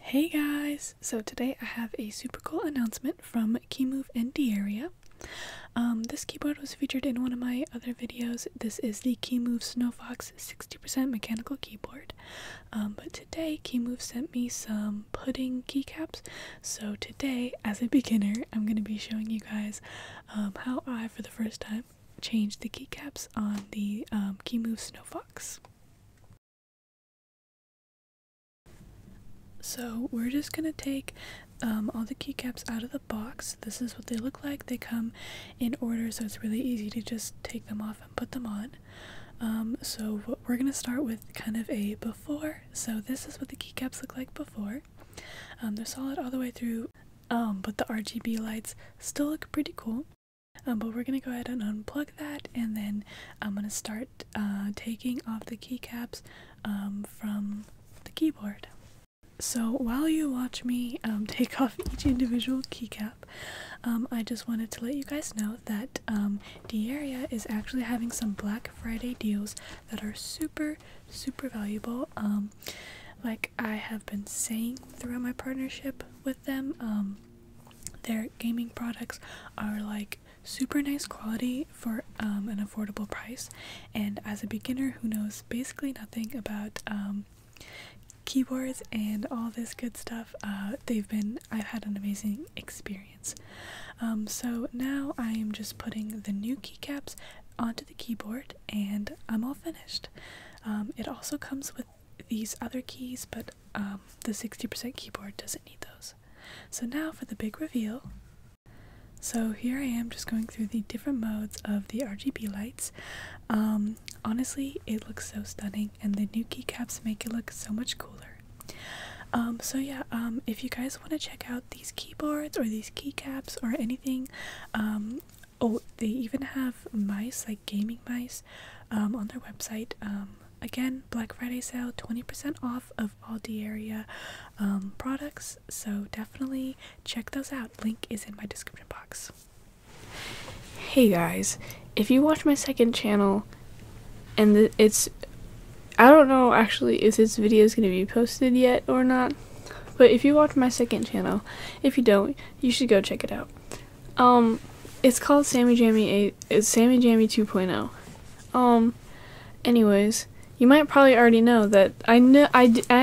Hey guys! So today I have a super cool announcement from Keymove and Diaria. Um, this keyboard was featured in one of my other videos. This is the Keymove Snowfox 60% mechanical keyboard. Um, but today Keymove sent me some pudding keycaps. So today, as a beginner, I'm going to be showing you guys um, how I, for the first time, changed the keycaps on the Keymove Snowfox. So we're just going to take um, all the keycaps out of the box. This is what they look like. They come in order so it's really easy to just take them off and put them on. Um, so we're going to start with kind of a before. So this is what the keycaps look like before. Um, they're solid all the way through, but the RGB lights still look pretty cool. Um, but we're going to go ahead and unplug that and then I'm going to start uh, taking off the keycaps um, from the keyboard. So while you watch me um, take off each individual keycap, I just wanted to let you guys know that um, Diaria is actually having some Black Friday deals that are super, super valuable. like I have been saying throughout my partnership with them, their gaming products are like super nice quality for um, an affordable price. And as a beginner who knows basically nothing about um, keyboards and all this good stuff, uh, they've been I've had an amazing experience. Um, so now I am just putting the new keycaps onto the keyboard and I'm all finished. it also comes with these other keys, but um, the 60% keyboard doesn't need those. So now for the big reveal. So here I am just going through the different modes of the RGB lights. Um, honestly, it looks so stunning and the new keycaps make it look so much cooler. Um, so yeah, if you guys want to check out these keyboards or these keycaps or anything, oh they even have mice like gaming mice um, on their website um, again black friday sale 20% off of all the area um, products so definitely check those out link is in my description box hey guys if you watch my second channel and it's i don't know actually if this video is going to be posted yet or not but if you watch my second channel if you don't you should go check it out um, it's called Sammy Jammy 8. It's Sammy Jammy 2.0. Um, anyways, you might probably already know that I know I,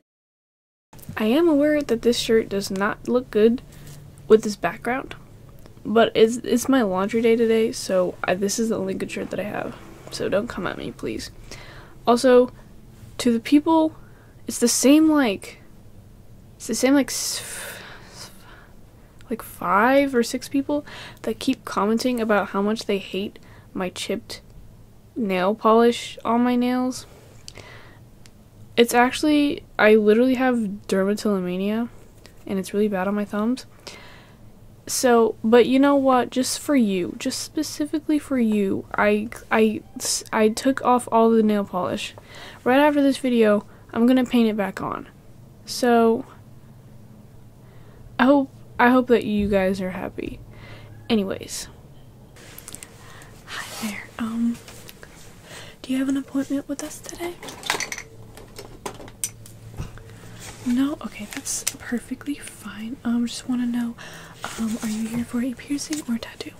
I, am aware that this shirt does not look good with this background, but it's it's my laundry day today, so this is the only good shirt that I have. So don't come at me, please. Also, to the people it's the same like it's the same like like five or six people that keep commenting about how much they hate my chipped nail polish on my nails. It's actually I literally have dermatillomania and it's really bad on my thumbs. So, but you know what? Just for you, just specifically for you, I I I, took off all the nail polish. Right after this video, I'm going to paint it back on. So, I hope, I hope that you guys are happy. Anyways. Hi there. Um, do you have an appointment with us today? No? Okay, that's perfectly fine. Um, just want to know, um, are you here for a piercing or tattoo?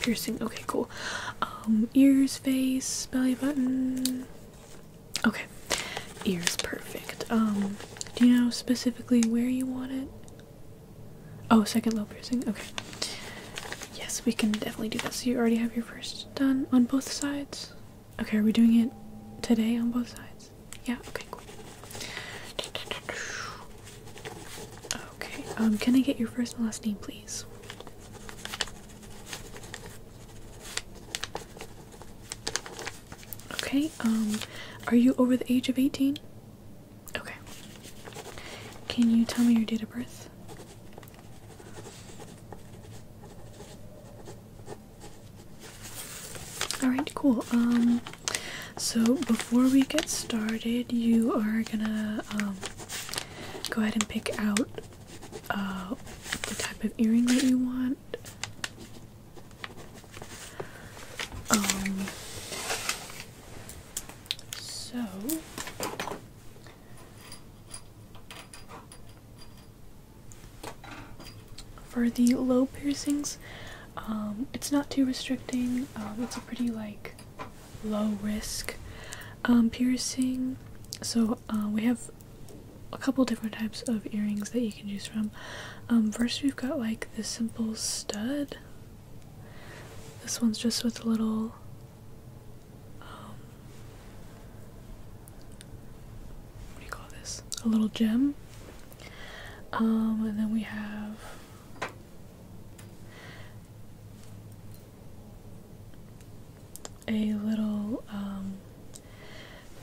Piercing. Okay, cool. Um, ears, face, belly button. Okay, ears, perfect. Um, do you know specifically where you want it? Oh, second low piercing. Okay. Yes, we can definitely do that. So you already have your first done on both sides. Okay, are we doing it today on both sides? Yeah. Okay. Cool. Okay, um, can I get your first and last name, please? Okay, um, are you over the age of 18? Okay. Can you tell me your date of birth? Alright, cool. Um, so, before we get started, you are gonna um, go ahead and pick out uh, the type of earring that you want. Um, so. For the low piercings, um, it's not too restricting. it's a pretty like low risk um, piercing. So uh, we have a couple different types of earrings that you can choose from. Um, first, we've got like the simple stud. This one's just with a little. Um, what do you call this? A little gem. and then we have a little um,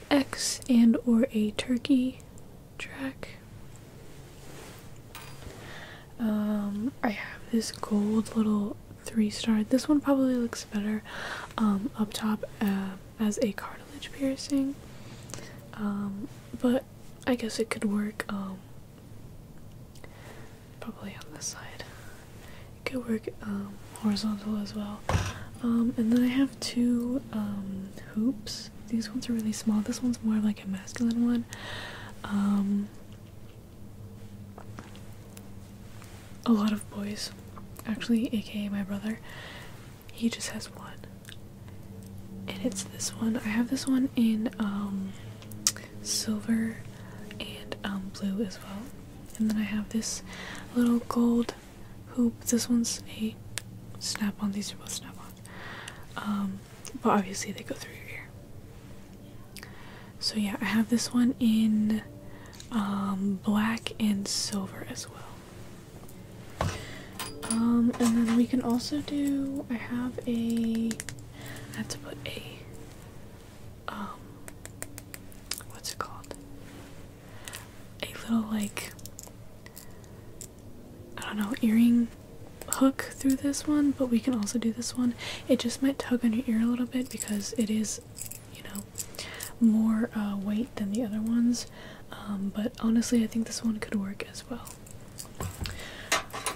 X and or a turkey track. Um, I have this gold little three star. This one probably looks better um, up top uh, as a cartilage piercing, but I guess it could work. Probably on this side. It could work um, horizontal as well. Um, and then I have two um, hoops. These ones are really small. This one's more like a masculine one. a lot of boys, actually, aka my brother, he just has one and it's this one. I have this one in um, silver and um, blue as well. And then I have this little gold hoop. This one's a snap on. These are both snap on. Um, but obviously they go through your ear. So yeah, I have this one in um, black and silver as well. Um, and then we can also do. I have a. I have to put a. Um. What's it called? A little like. I don't know, earring hook through this one, but we can also do this one. It just might tug on your ear a little bit because it is, you know, more uh, weight than the other ones. Um, but honestly, I think this one could work as well.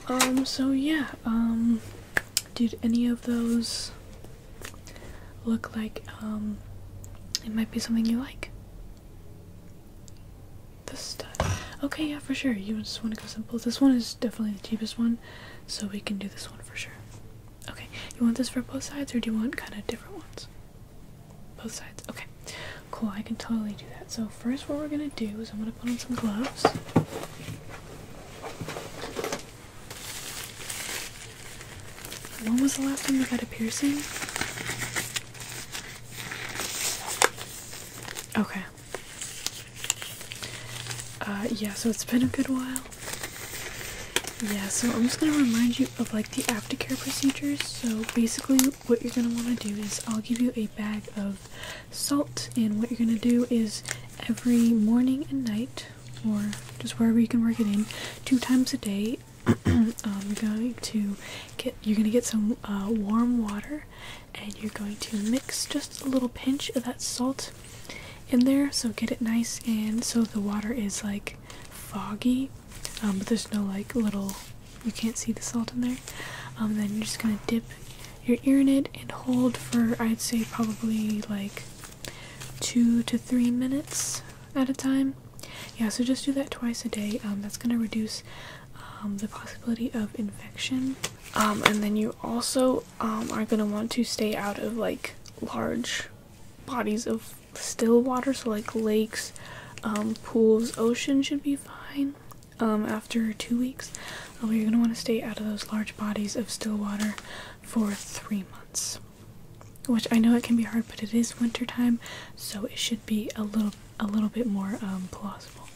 Um, so yeah, um, did any of those look like, um, it might be something you like? This stuff. Okay, yeah, for sure. You just want to go simple. This one is definitely the cheapest one, so we can do this one for sure. Okay, you want this for both sides, or do you want kind of different ones? Both sides? Okay. Cool, I can totally do that. So first what we're gonna do is I'm gonna put on some gloves. When was the last time you got a piercing? Okay. Uh, yeah, so it's been a good while. Yeah, so I'm just gonna remind you of like the aftercare procedures. So basically, what you're going to want to do is I'll give you a bag of salt, and what you're going to do is every morning and night, or just wherever you can work it in, two times a day. I'm um, going to get you're going to get some uh, warm water and you're going to mix just a little pinch of that salt in there so get it nice and so the water is like foggy um, but there's no like little you can't see the salt in there. Um, then you're just gonna dip your ear in it and hold for I'd say probably like two to three minutes at a time. Yeah, so just do that twice a day. Um, that's gonna reduce um, the possibility of infection. and then you also are gonna want to stay out of like large bodies of still water, so like lakes, pools, ocean should be fine um, after two weeks, you're uh, going to want to stay out of those large bodies of still water for three months. Which I know it can be hard, but it is wintertime, so it should be a little a little bit more um, plausible.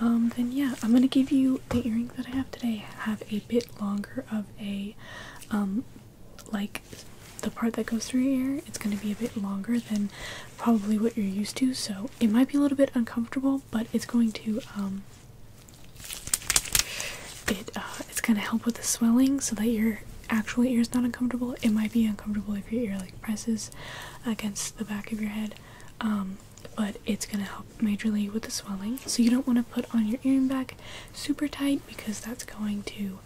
Um, then yeah, I'm gonna give you the earrings that I have today. Have a bit longer of a, um, like, the part that goes through your ear. It's gonna be a bit longer than probably what you're used to, so it might be a little bit uncomfortable, but it's going to um, it uh, it's gonna help with the swelling so that your actual ear is not uncomfortable. It might be uncomfortable if your ear like presses against the back of your head, um, but it's gonna help majorly with the swelling. So you don't want to put on your earring back super tight because that's going to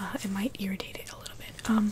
uh, it might irritate it a little bit. Um,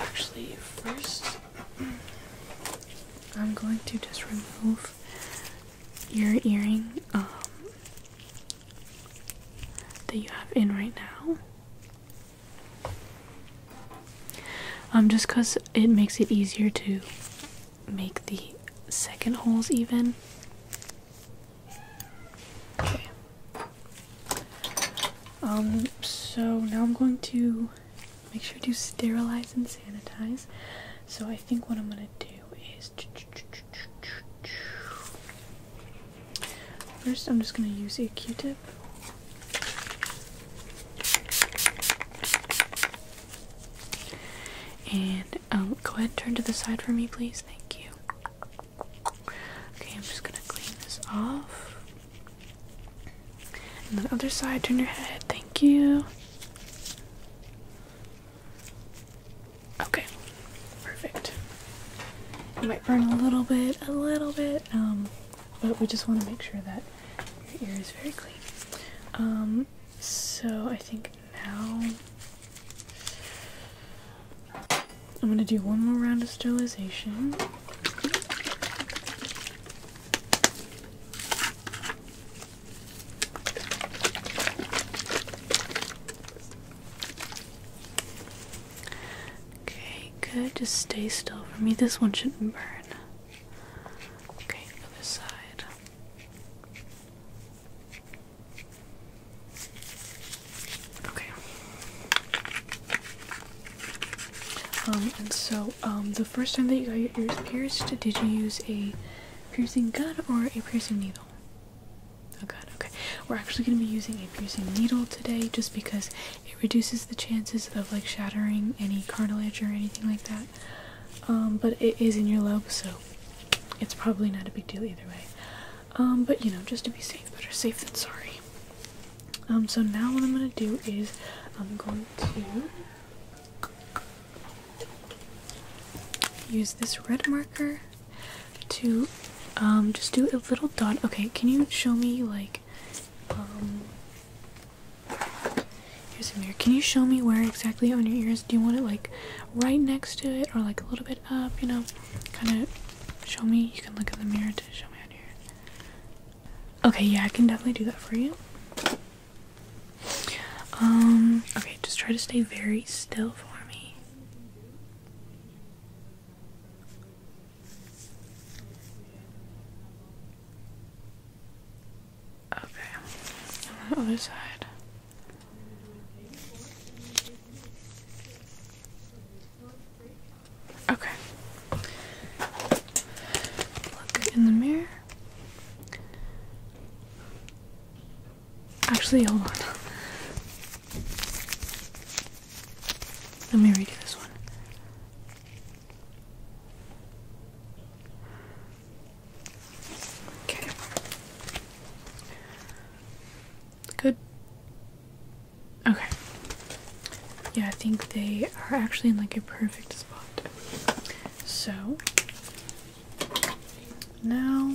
Actually, first, I'm going to just remove your earring um, that you have in right now. Um, just because it makes it easier to make the second holes even. Okay. Um, so now I'm going to make sure to sterilize and sanitize. So I think what I'm going to do is. First, I'm just going to use a q tip. And um, go ahead and turn to the side for me, please. Thank you. Okay, I'm just gonna clean this off. And the other side, turn your head. Thank you. Okay, perfect. You might burn a little bit, a little bit, um, but we just want to make sure that your ear is very clean. Um, so I think now. I'm gonna do one more round of sterilization. Okay, good. Just stay still for me. This one shouldn't burn. Okay, other side. Okay. Um, and so, um, the first time that you got your ears pierced, did you use a piercing gun or a piercing needle? Oh god, okay. We're actually going to be using a piercing needle today just because it reduces the chances of like shattering any cartilage or anything like that. Um, but it is in your lobe, so it's probably not a big deal either way. Um, but you know, just to be safe, better safe than sorry. Um, so now what I'm gonna do is I'm going to use this red marker to um, just do a little dot. Okay, can you show me like um, here's a mirror. Can you show me where exactly on your ears? Do you want it like right next to it or like a little bit up, you know, kind of show me. You can look in the mirror to show me on here. Okay, yeah, I can definitely do that for you. Um, okay, just try to stay very still for me. Okay, on the other side. Okay. Look in the mirror. Actually, hold on. Let me redo this one. Okay. Good. Okay. Yeah, I think they are actually in like a perfect spot. So now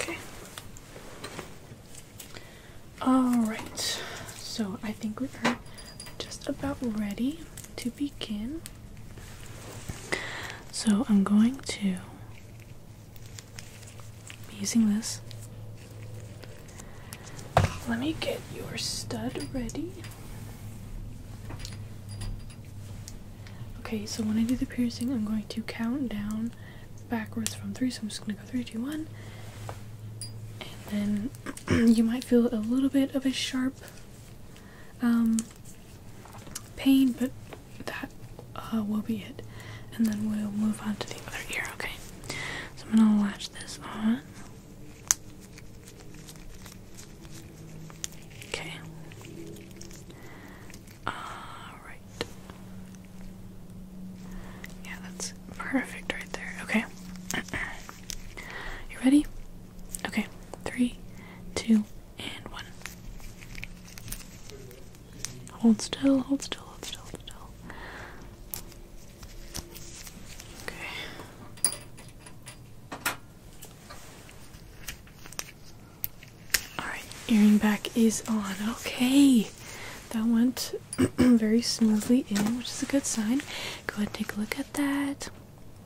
Okay. All right. So I think we are just about ready to begin. So I'm going to be using this. Let me get your stud ready. Okay, so when I do the piercing, I'm going to count down backwards from three. So I'm just gonna go three, two, one, and then you might feel a little bit of a sharp um, pain, but that uh, will be it. And then we'll move on to the other ear, okay? So I'm gonna latch this on. Okay. Alright. Yeah, that's perfect right there. Okay. you ready? Okay, three, two, and one. Hold still, hold still, hold still, hold still. Okay. Alright, earring back is on. Okay. That went very smoothly in, which is a good sign. Go ahead and take a look at that.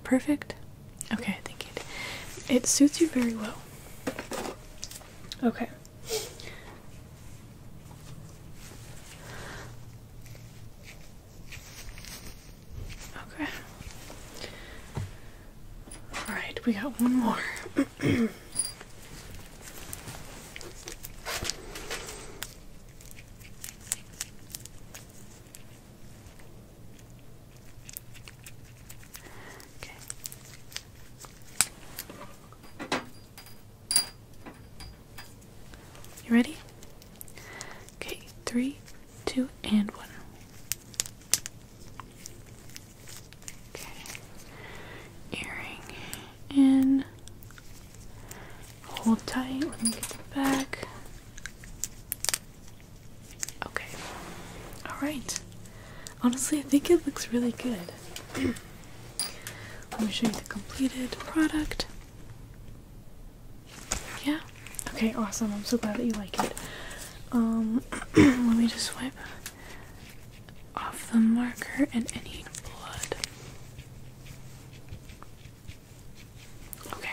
Perfect? Okay, I think it it suits you very well. Okay. Okay. All right, we got one more. You ready? Okay, three, two, and one. Okay. Earring in. Hold tight. Let me get the back. Okay. Alright. Honestly, I think it looks really good. Let me show you the completed product. Yeah? Okay, awesome. I'm so glad that you like it. Um, let me just wipe off the marker and any blood. Okay.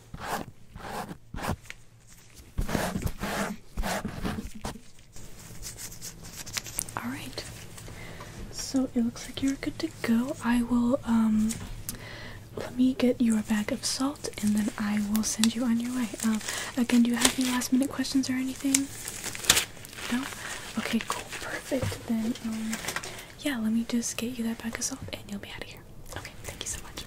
All right. So it looks like you're good to go. I will um, let me get you a bag of salt and then I will send you on your way. Um, again, do you have any last minute questions or anything? No? Okay, cool. Perfect. Then um, yeah, let me just get you that bag of salt and you'll be out of here. Okay, thank you so much.